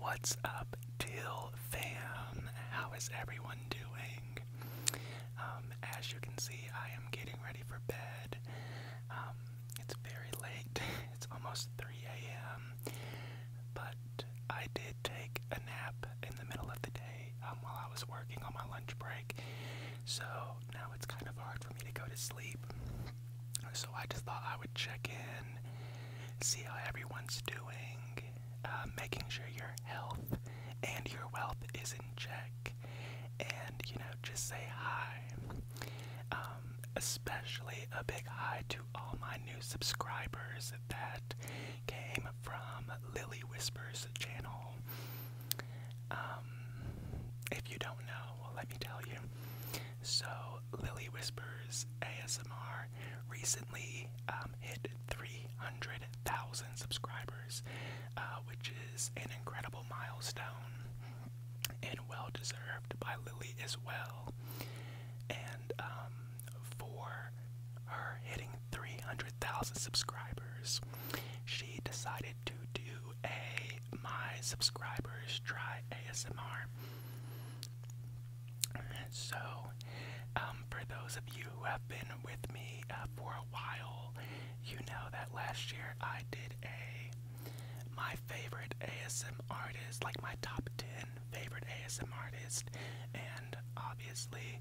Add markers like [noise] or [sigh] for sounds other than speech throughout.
What's up, Till fam? How is everyone doing? Um, as you can see, I am getting ready for bed. Um, it's very late, [laughs] it's almost 3 a.m., but I did take a nap in the middle of the day um, while I was working on my lunch break, so now it's kind of hard for me to go to sleep. So I just thought I would check in, see how everyone's doing, uh, making sure your health and your wealth is in check, and you know, just say hi. Um, especially a big hi to all my new subscribers that came from Lily Whispers channel. Um, if you don't know, well, let me tell you. So, Lily Whispers ASMR recently um, hit 300,000 subscribers, uh, which is an incredible milestone and well deserved by Lily as well. And um, for her hitting 300,000 subscribers, she decided to do a My Subscribers Try ASMR. So, um, for those of you who have been with me uh, for a while, you know that last year I did a my favorite ASM artist, like my top 10 favorite ASM artist, and obviously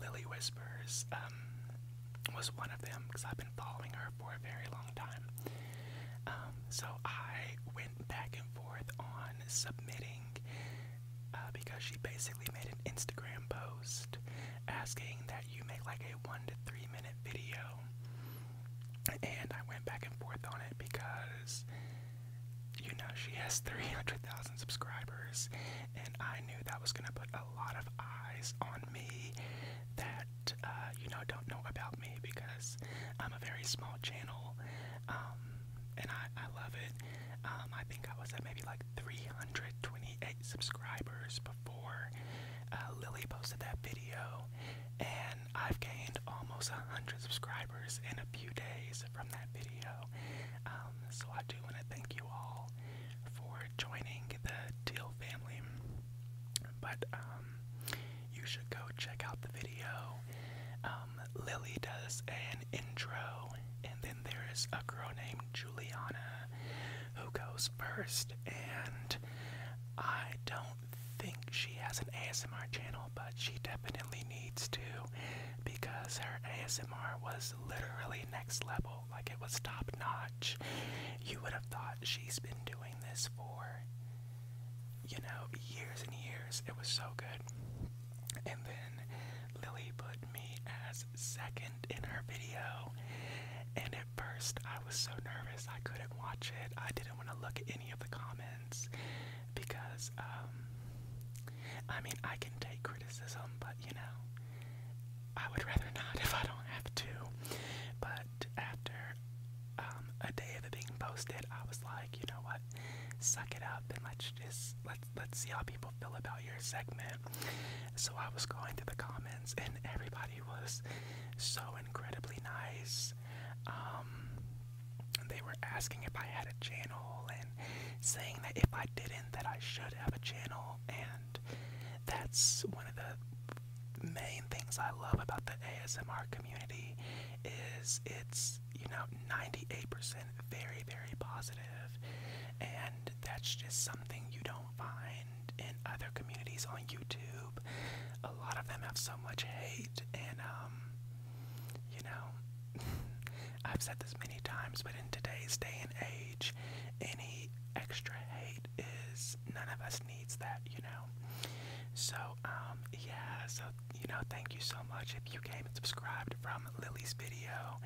Lily Whispers um, was one of them because I've been following her for a very long time. Um, so I back and forth on submitting uh, because she basically made an Instagram post asking that you make like a one to three minute video. And I went back and forth on it because, you know, she has 300,000 subscribers, and I knew that was going to put a lot of eyes on me that, uh, you know, don't know about me because I'm a very small channel, um, and I, love it. Um, I think I was at maybe like 328 subscribers before uh, Lily posted that video, and I've gained almost 100 subscribers in a few days from that video. Um, so I do want to thank you all for joining the Deal family. But um, you should go check out the video. Um, Lily does an intro, and then there is a girl named Juliana who goes first. And I don't think she has an ASMR channel, but she definitely needs to because her ASMR was literally next level. Like it was top notch. You would have thought she's been doing this for you know, years and years. It was so good. And then Lily put me as second in her video. And at first, I was so nervous I couldn't watch it. I didn't want to look at any of the comments because, um, I mean, I can take criticism, but you know, I would rather [laughs] not if I don't have to. But after um, a day of it being posted, I was like, you know what? Suck it up and let's just let's let's see how people feel about your segment. So I was going through the comments, and everybody was so incredibly nice. Um, they were asking if I had a channel and saying that if I didn't, that I should have a channel, and that's one of the main things I love about the ASMR community is it's, you know, 98% very, very positive, and that's just something you don't find in other communities on YouTube. A lot of them have so much hate, and, um, you know, [laughs] I've said this many times, but in today's day and age, any extra hate is none of us needs that, you know. So um, yeah, so you know, thank you so much if you came and subscribed from Lily's video.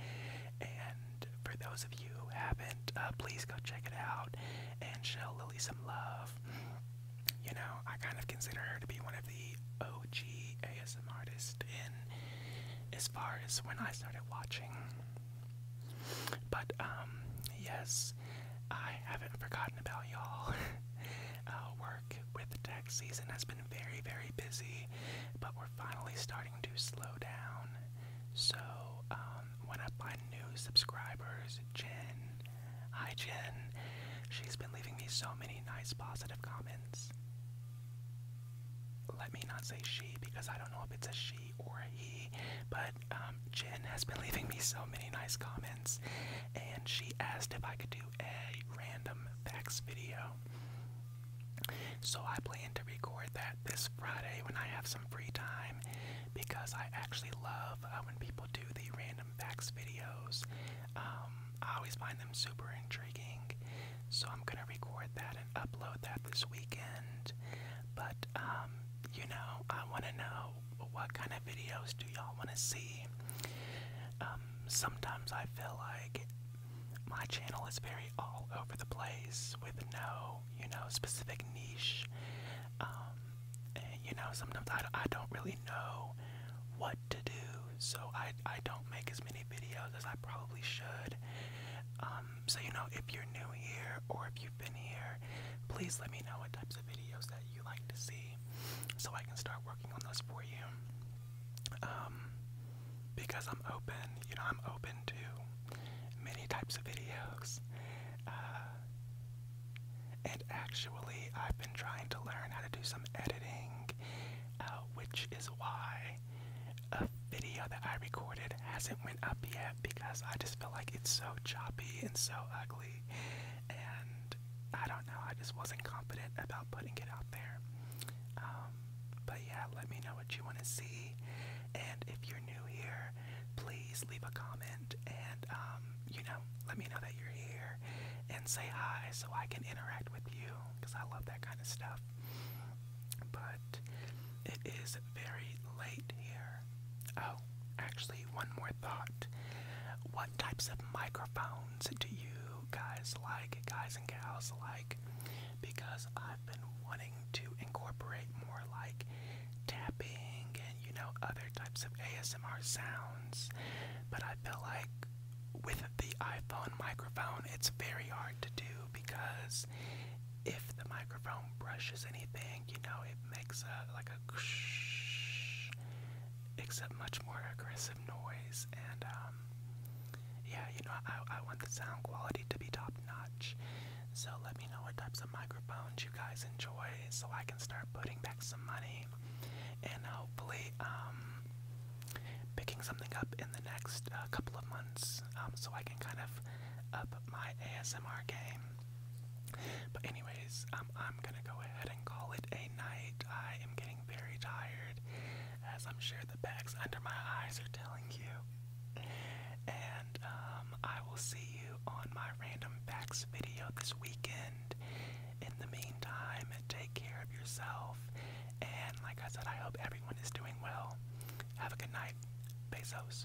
And for those of you who haven't, uh, please go check it out and show Lily some love. You know, I kind of consider her to be one of the OG ASM artists in as far as when I started watching. But um, yes, I haven't forgotten about y'all. [laughs] uh, work with the tax season has been very, very busy, but we're finally starting to slow down. So, um, one of my new subscribers, Jen, hi Jen, she's been leaving me so many nice positive comments. Let me not say she because I don't know if it's a she or a he, but um, Jen has been leaving me so many nice comments, and she asked if I could do a random facts video. So I plan to record that this Friday when I have some free time because I actually love uh, when people do the random facts videos. Um, I always find them super intriguing. So I'm gonna record that and upload that this weekend. But um, you know, I wanna know what kind of videos do y'all want to see. Um, sometimes I feel like my channel is very all over the place with no, you know, specific niche. Um, and, you know, sometimes I, I don't really know what to do, so I, I don't make as many videos as I probably should. Um, so, you know, if you're new here or if you've been here, please let me know what types of videos that you like to see so I can start working on those for you. Um, because I'm open, you know, I'm open to many types of videos. Uh, and actually, I've been trying to learn how to do some editing, uh, which is why a video that I recorded hasn't went up yet because I just feel like it's so choppy and so ugly and I don't know, I just wasn't confident about putting it out there. Um, but yeah, let me know what you want to see, and if you're new here, please leave a comment and um, you know, let me know that you're here and say hi so I can interact with you because I love that kind of stuff. But it is very late here. Oh, actually, one more thought. What types of microphones do you guys like, guys and gals like? Because I've been wanting to incorporate more like tapping and you know other types of ASMR sounds, but I feel like with the iPhone microphone, it's very hard to do because if the microphone brushes anything you know it makes a like a ksh, except much more aggressive noise and um, yeah you know I, I want the sound quality to be top notch so let me know what types of microphones you guys enjoy so I can start putting back some money and hopefully um picking something up in the next uh, couple of months um, so I can kind of up my ASMR game but anyways, um, I'm gonna go ahead and call it a night. I am getting very tired, as I'm sure the bags under my eyes are telling you. And um, I will see you on my random facts video this weekend. In the meantime, take care of yourself. And like I said, I hope everyone is doing well. Have a good night. Bezos.